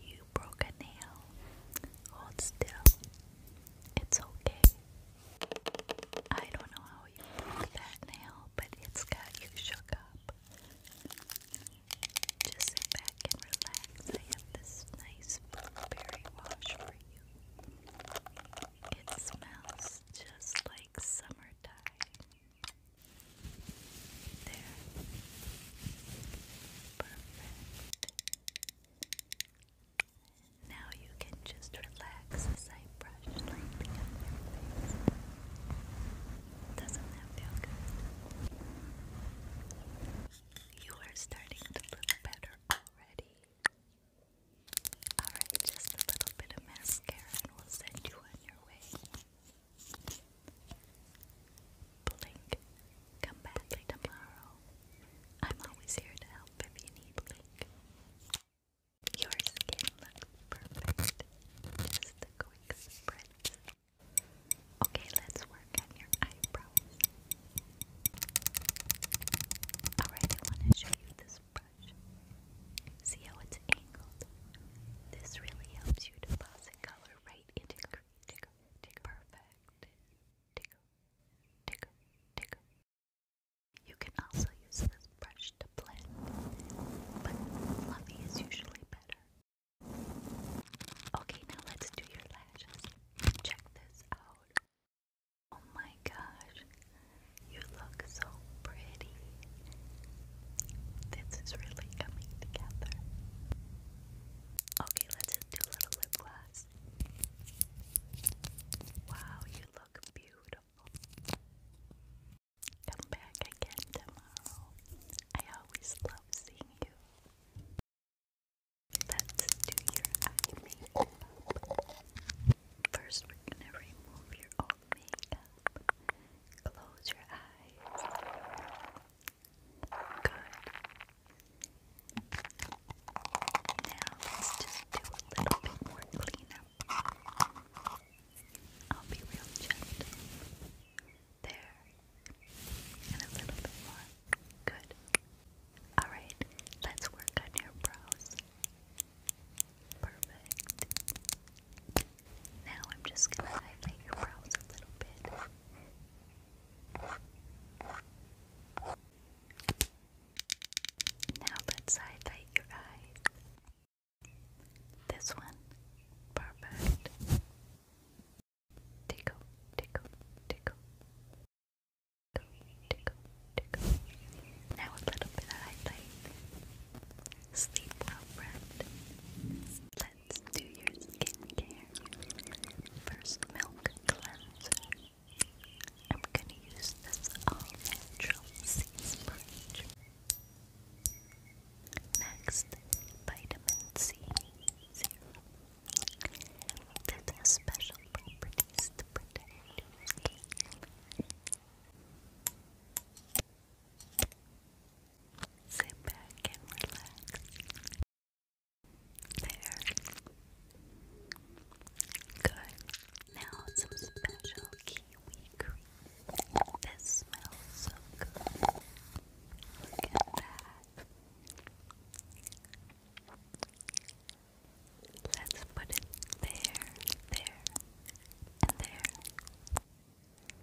You broke a nail. Hold still. It's okay. I don't know how you broke that nail, but it's got you shook up. Just sit back and relax. I have this nice blueberry wash for you. It smells just like summertime. There. Perfect. Now you can just relax I brush lightly on your face. Doesn't that feel good? You are starting to look better already. Alright, just a little bit of mascara and we'll send you on your way. Blink, come back tomorrow. I'm always here to help if you need Blink. Your skin looks perfect. Just a quick spritz. Okay, let's work on your eyebrows. Alright, I want to show you this brush. See how it's angled? This really helps you deposit color perfect. You can also use this brush to blend, but fluffy is usually better. Okay, now let's do your lashes. Check this out. Oh my gosh, you look so pretty. This is really coming together. Okay, let's do little lip gloss. Wow, you look beautiful. Come back again tomorrow. I always love seeing you. Let's do your eye makeup. First, we're gonna remove your makeup. Close your eyes. Good. Now let's just do a little bit more cleanup. I'll be real gentle. There. And a little bit more. Good. Alright, let's work on your brows. Perfect. Now I'm just gonna highlight your brows a little bit. Now let's highlight your eyes. This one. Perfect. Tickle, tickle, tickle. Tickle, tickle, Now a little bit of highlight. Sleep well, friend. Let's do your skincare. First, milk cleanser. I'm gonna use this all-natural sea sponge. Next, vitamin C serum. This has special properties to protect your skin. Sit back and relax. There. Good. Now some special kiwi cream. This smells so good. Look at that. Let's put it there, there, and there.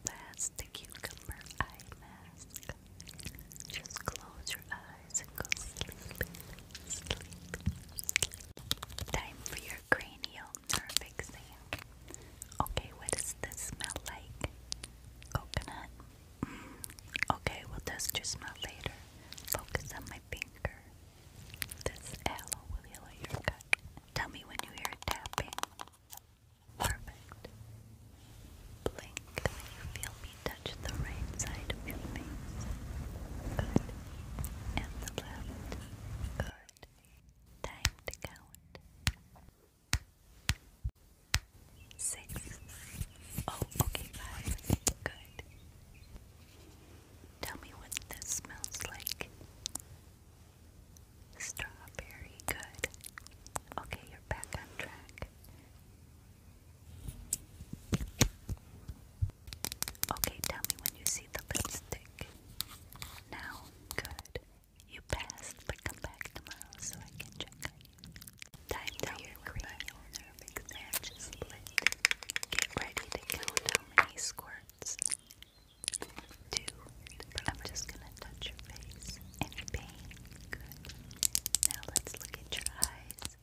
That's the cucumber eye mask. Just close your eyes and go sleep, sleep, sleep. Time for your cranial nerve exam. Okay, what does this smell like? Coconut? Mm. Okay, we'll test your smell later. Focus on my finger. This aloe will heal your gut. Tell me when you hear tapping. Perfect. Blink you feel me touch the right side of your face. Good. And the left. Good. Time to count. Six. Oh, okay, five. Good. Tell me what this smells like. Strawberry, good. Okay, you're back on track. Okay, tell me when you see the lipstick. Now, good. You passed, but come back tomorrow so I can check on you. Time tell for your cranial exam just lit. Get ready to count how many squirts minutes but I'm just gonna touch your face and pain. Good. Now let's look at your eyes.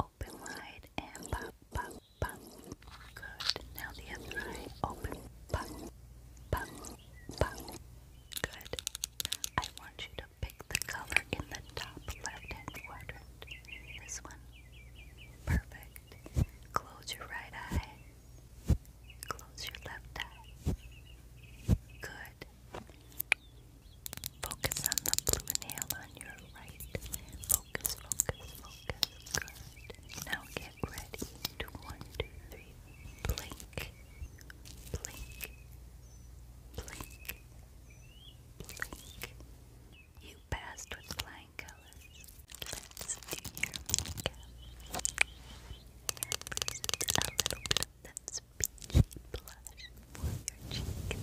Open wide and pop, pop, pop. Good. Now the other eye. Open, pop, pop, pop. Good. I want you to pick the color in the top left quadrant. This one. Perfect. Close your right eye. Close your left eye. Good. Focus on the blue nail on your right. Focus, focus, focus. Now get ready one, two, three. Blink. Blink. Blink. Blink. You you with flying colors. do your makeup. a little bit of that peachy blush for your cheek.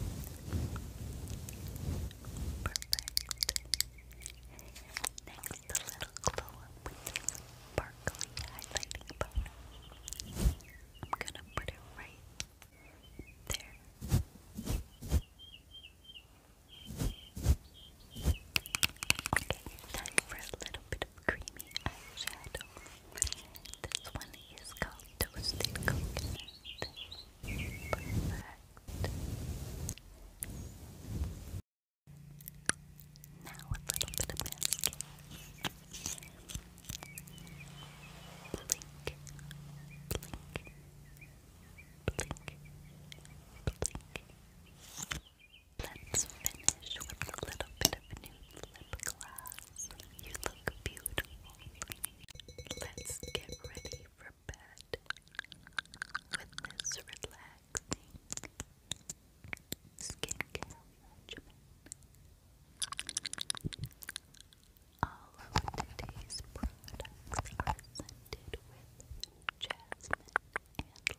Perfect. Next, a little glow with this sparkly highlighting powder. I'm gonna put it right there. Okay, time for a little bit of creamy eyeshadow. This one is called Toasted Coconut. Now a little bit of mascara. Let's finish with a little bit of new lip gloss. You look beautiful. Let's get ready for bed with this relaxing skincare regimen. All of today's products are scented with jasmine and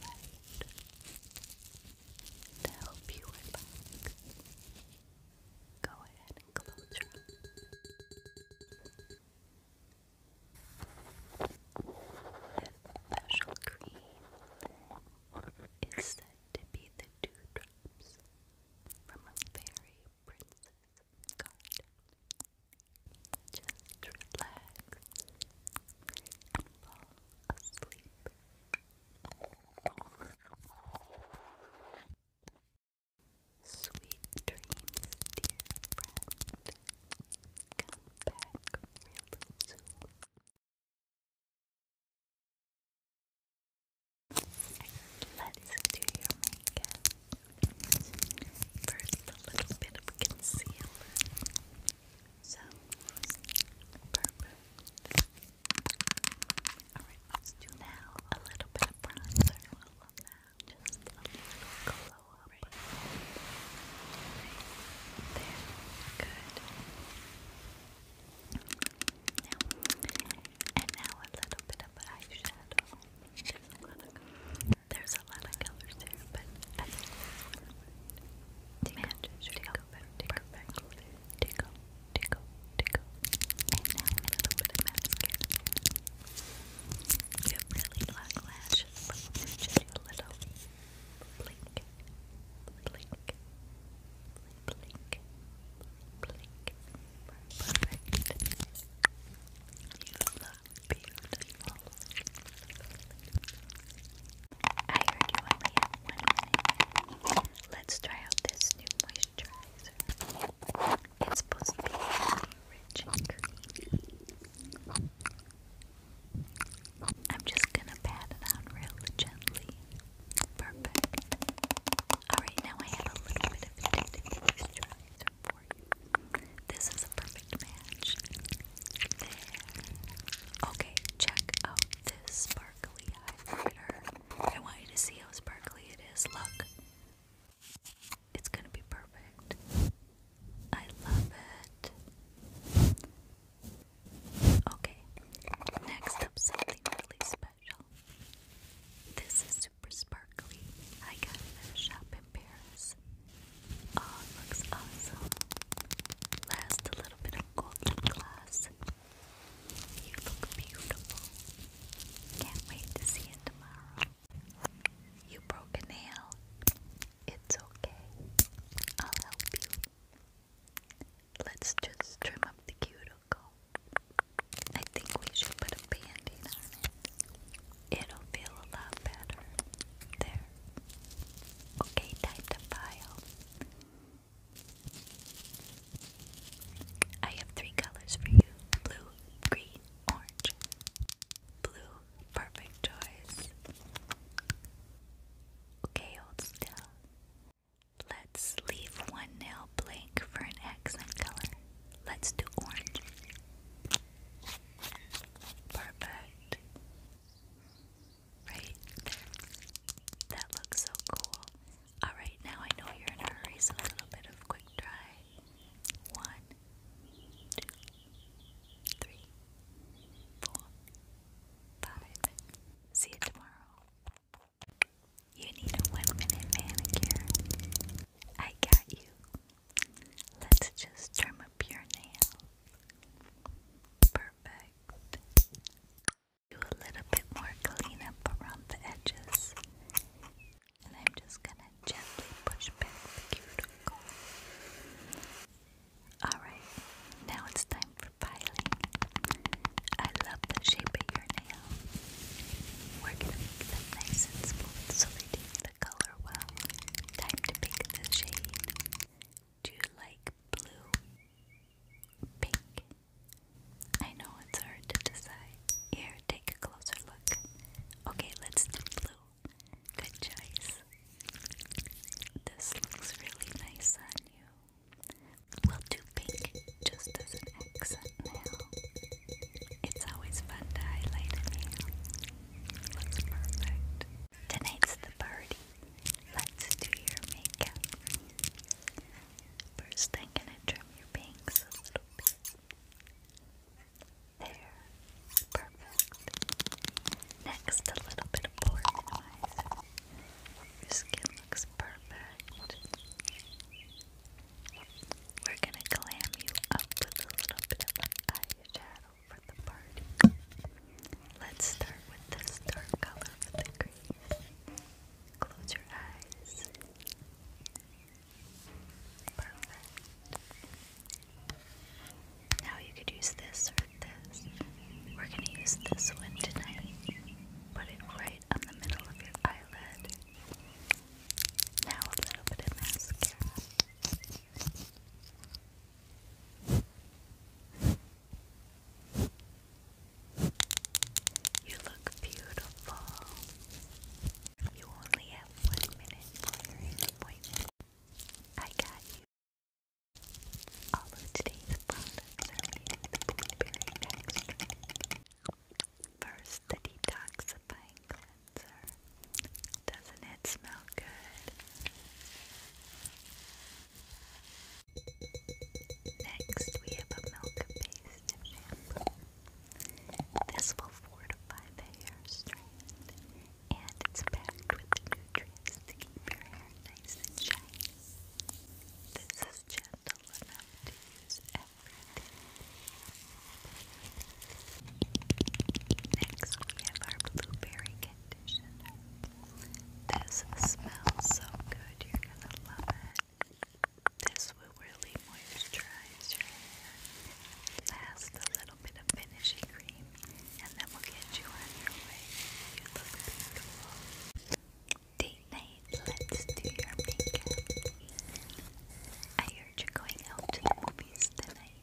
lavender to help you relax. Go ahead and close your eyes. This special cream is said to be the dewdrops from a fairy princess Just relax and fall asleep. Sweet dreams, dear friend. Come back Let's do your makeup. First, a little bit of concealer. So, perfect. Alright, let's do now a little bit of bronzer. I love Just a little glow up. there. Good. Now, and now a little bit of eyeshadow. There's a lot of colors there, but I think this one matches tickle, tickle, perfectly. Tickle, tickle, tickle. And now a little bit of mascara. You really long lashes, just a little blink blink, blink, blink. Perfect. You look beautiful. I heard you only have one minute. Let's try out this new moisturizer. It's supposed to be rich and creamy. I'm just gonna pat it on real gently. Perfect. Alright, now I have a little bit of tinted moisturizer for you. This is a perfect match. Okay, check out this sparkly highlighter. I want you to see how sparkly it is. Look. It's gonna be perfect. I love it. Okay, next up something really special. This is super sparkly. I got it at a shop in Paris. Oh, looks awesome. Last a little bit of golden glass. You look beautiful. Can't wait to see it tomorrow. You broke a nail. It's okay. I'll help you. Let's just trim up the cuticle. I think we should put a band on it. It'll feel a lot better. There. Okay, time to file. I have three colors for you blue, green, orange. Blue, perfect choice. Okay, hold still. Let's leave one nail blank for an accent color. Let's do orange. Perfect. Right there. That looks so cool. Alright, now I know you're in a hurry, so a little bit of quick dry. One, two, three, four, Five. See you tomorrow. You need a one minute manicure. I got you. Let's just trim up your nails. Perfect. Do a little bit more cleanup around the edges. And I'm just gonna gently push back the cuticle. Alright, now it's time I love the shape of your nail. We're nice and smooth so they take the color well. Time to pick the shade. Do you like blue? Pink? I know it's hard to decide. Here, take a closer look. Okay, let's do blue. Good choice. This looks really nice on you. We'll do pink just as an accent now. It's always fun to highlight Looks perfect. Tonight's the party. Let's do your makeup. First, I'm gonna trim your bangs a little bit. There. Next, a little bit of pore Your skin looks perfect. We're gonna glam you up with a little bit of eyeshadow for the party. Let's start with this dark color with the crease. Close your eyes. Now you could use this or this. We're gonna use this one tonight. Put it right on the middle of your eyelid. Now a little bit of mascara. You look beautiful. You only have one minute I got you. All of today's products are made with First, the detoxifying cleanser. Doesn't it smell good? Next, we have a milk-based shampoo. This will fortify the hair strand and it's packed with nutrients to keep your hair nice and shiny. This is gentle enough to use every day. Next, we have our blueberry conditioner. This smells so good, you're gonna love it. This will really moisturize your hair, last a little little finishing cream, and then we'll get you on your way. You look beautiful. Date night, let's do your makeup. I heard you're going out to the movies tonight.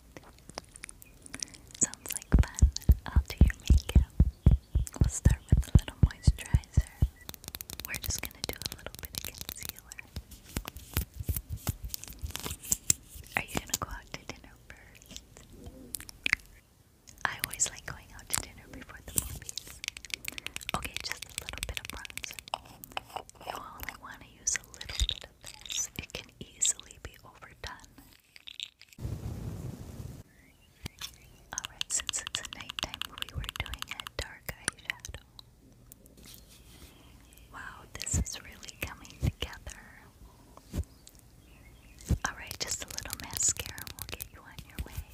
Sounds like fun. I'll do your makeup. We'll start with a little moisturizer. We're just gonna do a little bit of concealer. Are you gonna go out to dinner first? I always like going out to dinner before the movies. Okay, just a little bit of bronzer. You only want to use a little bit of this. It can easily be overdone. Alright, since it's a nighttime movie, we're doing a dark eyeshadow. Wow, this is really coming together. Alright, just a little mascara will get you on your way.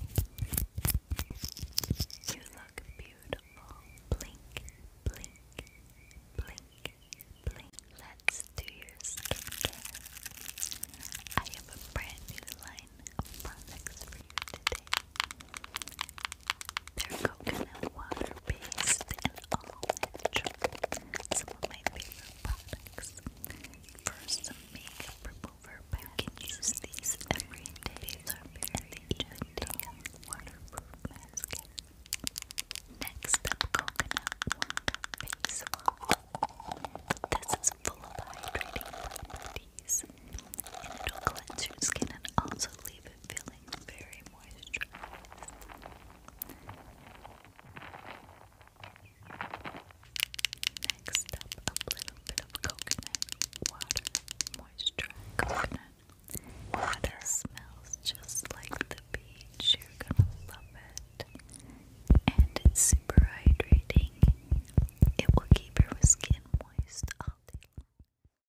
You look beautiful. Blink, blink, blink, blink. Let's do your skincare. I have a brand new line of products for you today they coconut water based and all natural. Some of my favorite products. First, some makeup remover but can use these every day. And they even take waterproof mascara. Next up, coconut water face This is full of hydrating properties, and it'll cleanse your skin and also leave feeling very moisturized. Next up, a little bit of coconut water moisturizing coconut. Water smells just like the beach. You're gonna love it, and it's super hydrating. It will keep your skin moist all day